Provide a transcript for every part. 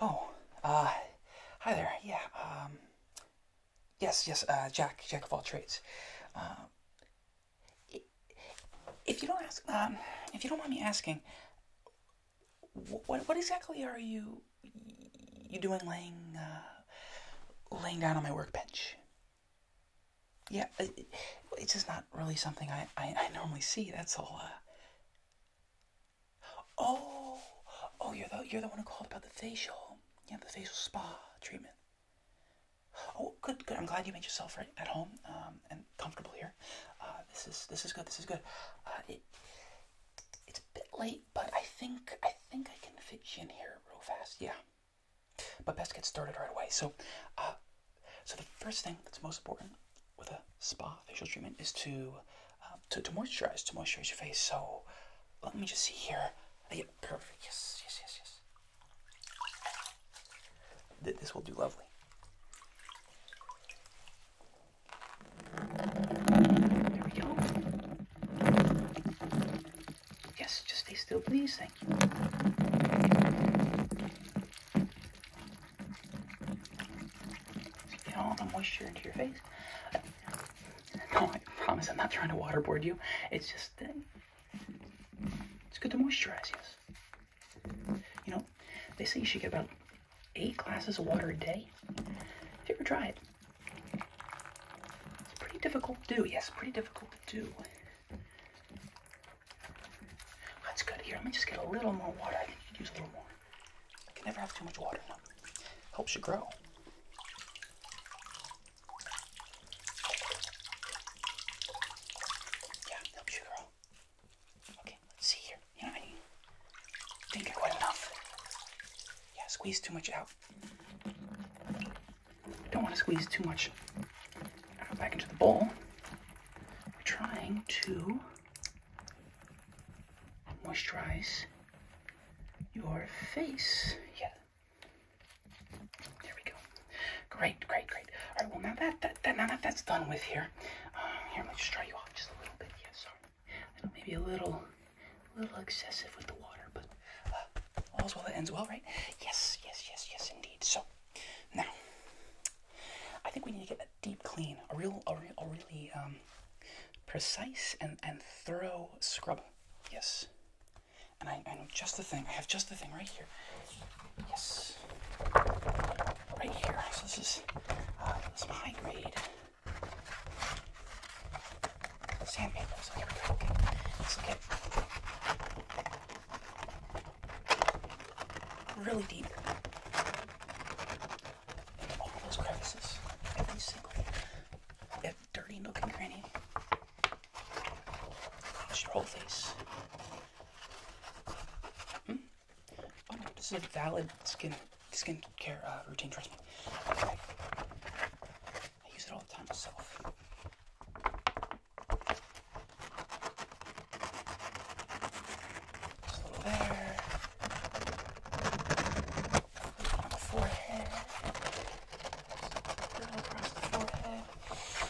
Oh, uh, hi there. Yeah, um, yes, yes, uh, Jack, Jack of all trades. Uh, if you don't ask, um, if you don't mind me asking, what, exactly are you you doing laying uh, laying down on my workbench? yeah, uh, it's just not really something I, I, I normally see. That's all. Uh. Oh, oh, you're the you're the one who called about the facial. Yeah, the facial spa treatment. Oh, good, good. I'm glad you made yourself right at home um, and comfortable here. Uh, this is this is good. This is good. Uh, it, it's a bit late, but I think I think I can fit you in here real fast. Yeah. But best get started right away. So, uh, so the first thing that's most important with a spa facial treatment is to um, to, to moisturize, to moisturize your face. So, let me just see here. perfect. Yes, yes, yes, yes. this will do lovely. There we go. Yes, just stay still, please. Thank you. Get all the moisture into your face. No, I promise I'm not trying to waterboard you. It's just, uh, it's good to moisturize, yes. You know, they say you should get about eight glasses of water a day. Have you ever tried it? It's pretty difficult to do, yes, pretty difficult to do. That's good. Here, let me just get a little more water. I think you could use a little more. I can never have too much water. No. Helps you grow. Yeah, helps you grow. Okay, let's see here. You know, I think I got enough. Yeah, squeeze too much out. I don't want to squeeze too much back into the bowl. We're trying to moisturize your face. Yeah. There we go. Great, great, great. All right, well, now that, that, that now that that's done with here, um, here, let me just dry you off just a little bit. Yeah, sorry. Maybe a little, a little excessive with the water, but uh, all's well that ends well, right? Yes, yes, yes, yes, indeed. So now, I think we need to get a deep clean, a real, a, real, a really um, precise and and thorough scrub. Yes, and I, I know just the thing. I have just the thing right here. Yes, right here. So this is uh, some high grade sandpaper. So here we go. Okay, Really deep. All those crevices. Every single that dirty looking and cranny. Just your whole face. Hmm? Oh, this is a valid skin skin care uh, routine, trust me. I use it all the time myself. Just a little there. On the forehead. Just a across the forehead.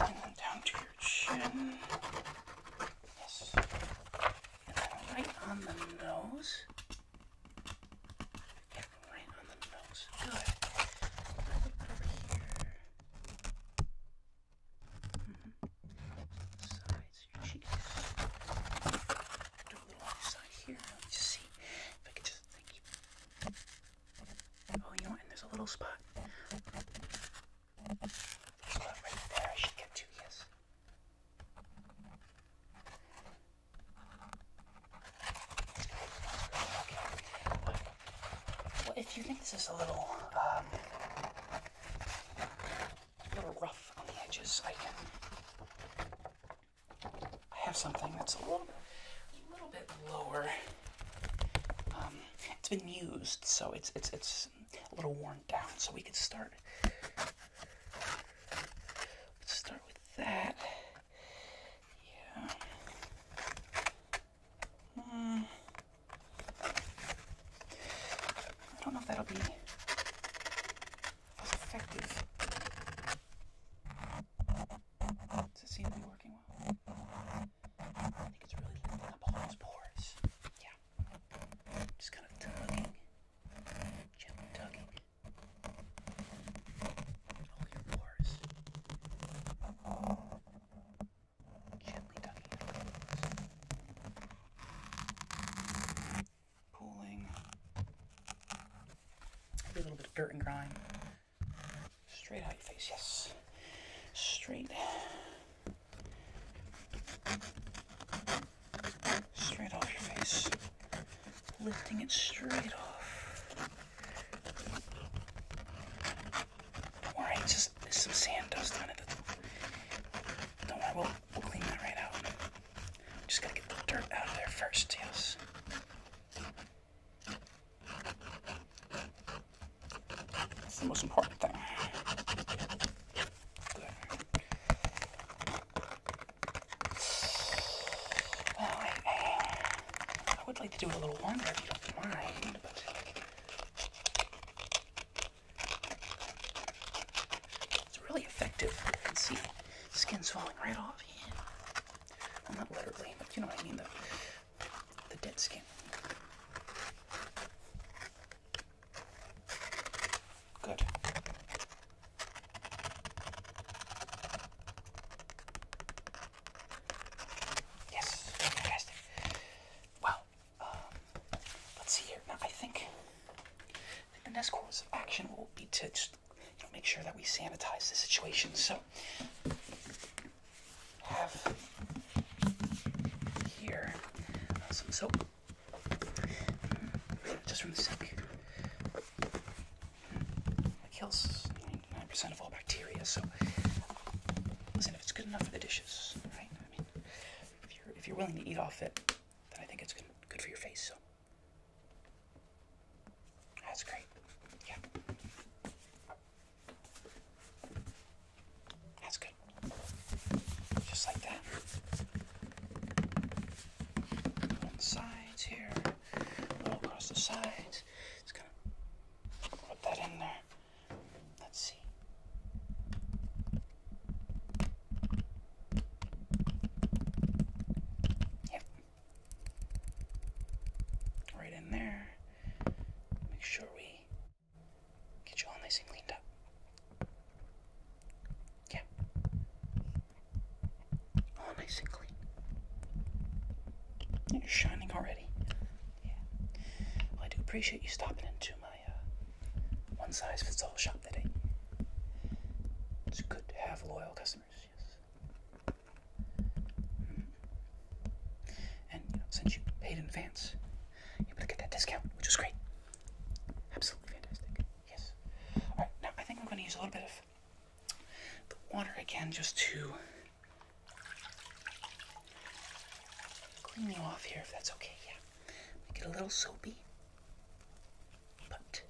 And then down to your chin. Yes. And then right on the nose. Right on the nose. Good. Over here. Sides your cheeks. Do a little side here. Let me see if I can just Oh, you know And there's a little spot. right there. I should get to yes. Okay if you think this is a little, um, a little rough on the edges, I can. have something that's a little, a little bit lower. Um, it's been used, so it's it's it's a little worn down. So we can start. Let's start with that. Yeah. Mm. I don't know if that'll be effective. Does it seem to be working well? I think it's really lifting up all those pores. Yeah. Just kind of tugging. Gently tugging. All your pores. Gently tucking it around. Pulling a little bit of dirt and grime. Straight out your face, yes. Straight. Straight off your face. Lifting it straight off. Alright, just there's some sand dust on it. Don't worry, we'll, clean that right out. Just gotta get the dirt out of there first, yes. That's the most important thing. I would like to do it a little longer if you don't mind, but it's really effective. You can see skin's falling right off. Well, not literally, but you know what I mean. The, the dead skin. Good. Yes, fantastic. Well, um, let's see here. Now, I think, the next course of action will be to make sure that we sanitize the situation. So, have here uh, some soap hmm, just from the sink. It kills 99% of all bacteria. So, listen, if it's good enough for the dishes, right? I mean, if you're if you're willing to eat off it, then I think it's good good for your face. So, that's great. Yeah. That's good. Just like that. sides here, all across the sides things. Just put that in there. Let's see. Yep. Right in there. Make sure we get you all nice and cleaned up. Yeah. All nice and clean. You're shining already. Yeah. I do appreciate you stopping into my uh, one size fits all shop today. It's good to have loyal customers, yes. Mm-hmm. And you know, since you paid in advance, you're able to get that discount, which is great. Absolutely fantastic. Yes. All right. Now I think I'm going to use a little bit of the water again, just to Clean you off here if that's okay, yeah. Make it a little soapy. But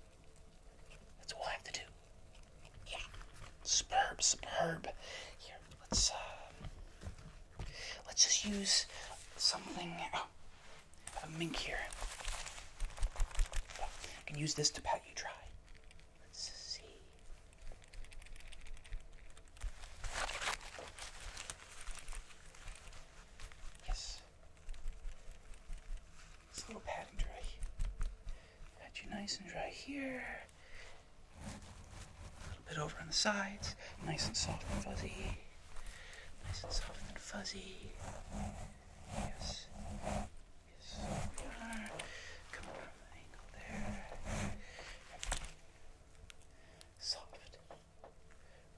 that's all I have to do. Yeah. Superb, superb. Here, let's uh, let's just use something oh, a mink here. I can use this to pat you dry. Let's see. Yes. It's a little pad and dry. Got you nice and dry here. A little bit over on the sides. Nice and soft and fuzzy. Nice and soft and fuzzy. Yes. Yes, so are. Coming from the angle there. Soft.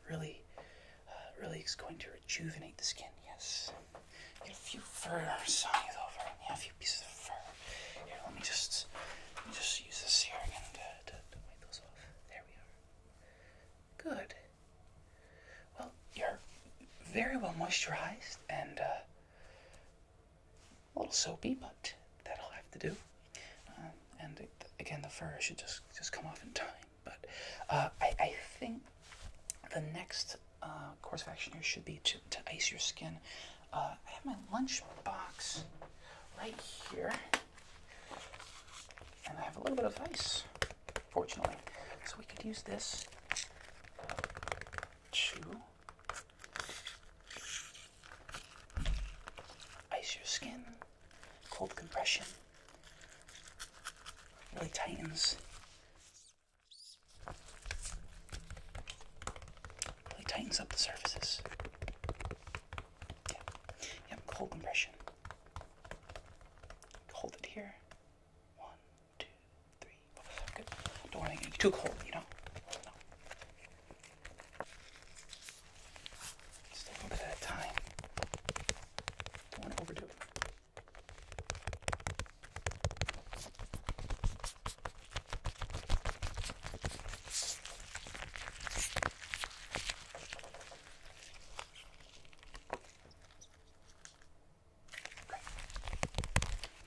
Really, uh, really is going to rejuvenate the skin, yes. Get a few fur size over and yeah, a few pieces of fur. Here, let me just let me just use this here again to, to, to wipe those off. There we are. Good. Well, you're very well moisturized and uh a little soapy, but that'll have to do. Uh, and again, the fur should just just come off in time. But uh, I, think the next uh, course of action here should be to, to ice your skin. I have my lunch box right here, and I have a little bit of ice, fortunately. So we could use this chew, ice your skin, cold compression really tightens. Really tightens up the surfaces. Yep, cold compression. Hold it here. One, two, three, four. Good. Don't want to get too cold, you know? No. Just at a time. Don't want to overdo it.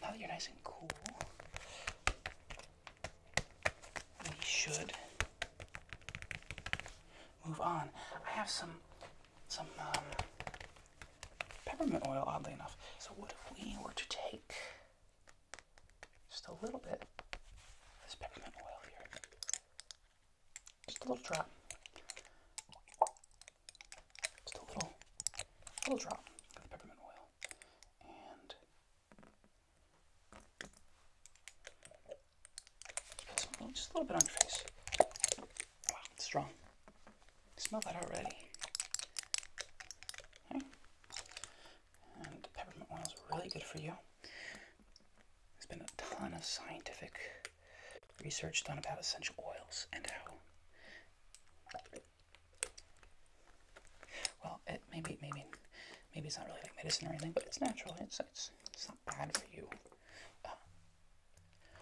Now that you're nice and cool, we should move on. I have some some um, peppermint oil, oddly enough. So what if we were to take just a little bit of this peppermint oil here, just a little drop, just a little, little drop of peppermint oil, and just a, little, bit on your face. Wow, it's strong. Smell that already. Okay. And peppermint oil is really good for you. There's been a ton of scientific research done about essential oils and how well it maybe maybe maybe it's not really like medicine or anything, but it's natural. It's it's it's not bad for you. Uh,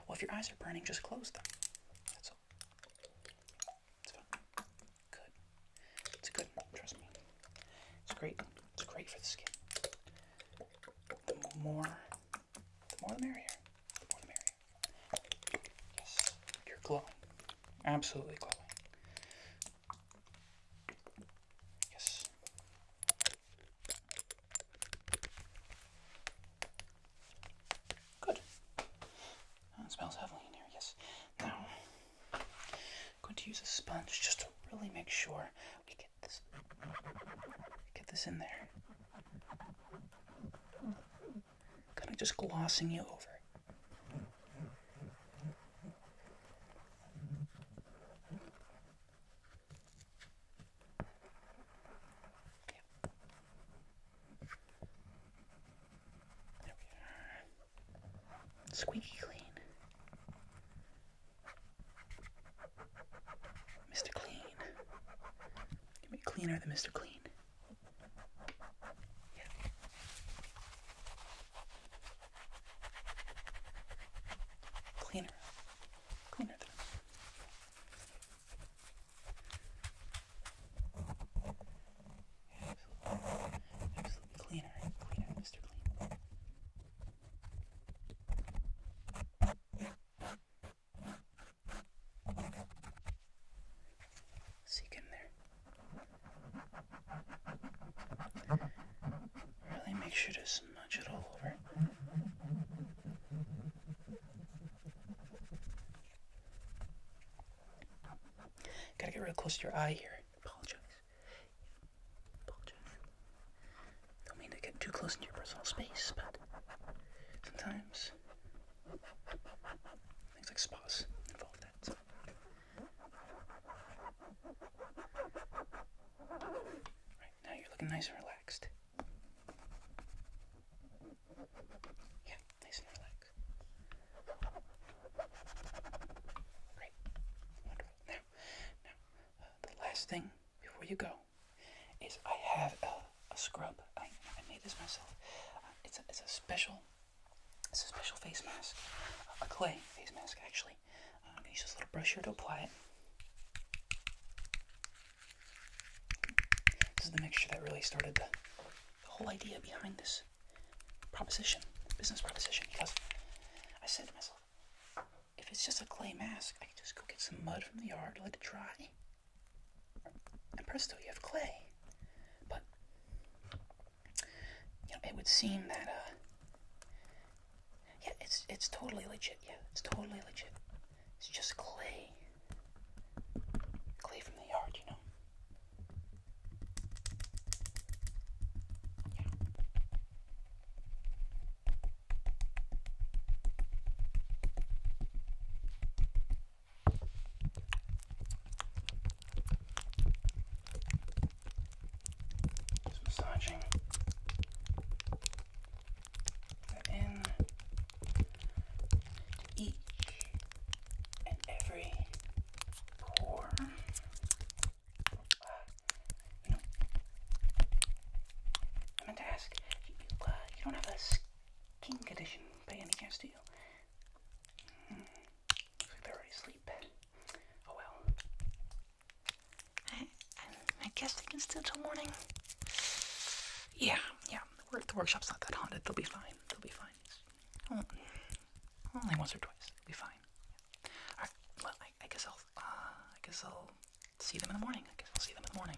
well, if your eyes are burning, just close them. That's all. It's fine. Good. It's good. Trust me. It's great. It's great for the skin. The more, the more merrier. The more the merrier. Yes, you're glowing. Absolutely glowing. Yes. Good. That smells heavily in here, yes. Now, I'm going to use a sponge just to really make sure we get this, get this in there kind of just glossing you over. Okay. There we are. Squeaky clean. Mr. Clean. Give me cleaner than Mr. Clean. Cleaner. Cleaner than Absolutely. cleaner. Cleaner than Mr. Clean. See you in there. Really make sure to smudge it all over. Gotta get real close to your eye here. Apologize. Apologize. Don't mean to get too close into your personal space, but sometimes things like spas involved that. Right, now you're looking nice and relaxed. Yeah, nice and relaxed. Great. Wonderful. Now, now, uh, the last thing before you go is I have a, scrub. I, I made this myself. Uh, it's, a, it's a special it's a special face mask, a clay face mask actually. I'm um, gonna use this little brush here to apply it. This is the mixture that really started the whole idea behind this proposition, business proposition, because I said to myself, if it's just a clay mask, I can just go get some mud from the yard, let it dry, and presto, you have clay. But you know, it would seem that uh, yeah, it's it's totally legit. Yeah, it's totally legit. It's just clay, clay from the yard, you know. Just massaging the each and every pore. you I meant to ask, you, uh, you don't have a King Edition by Annie Castillo. Mm. Looks like they're already asleep. Oh well. I, guess they can stay till morning. Yeah, yeah. The, workshop's not that haunted. They'll be fine. They'll be fine. Only, once or twice. It'll be fine. All right. Well, I, guess I'll. Uh, I guess I'll see them in the morning. I guess I'll see them in the morning.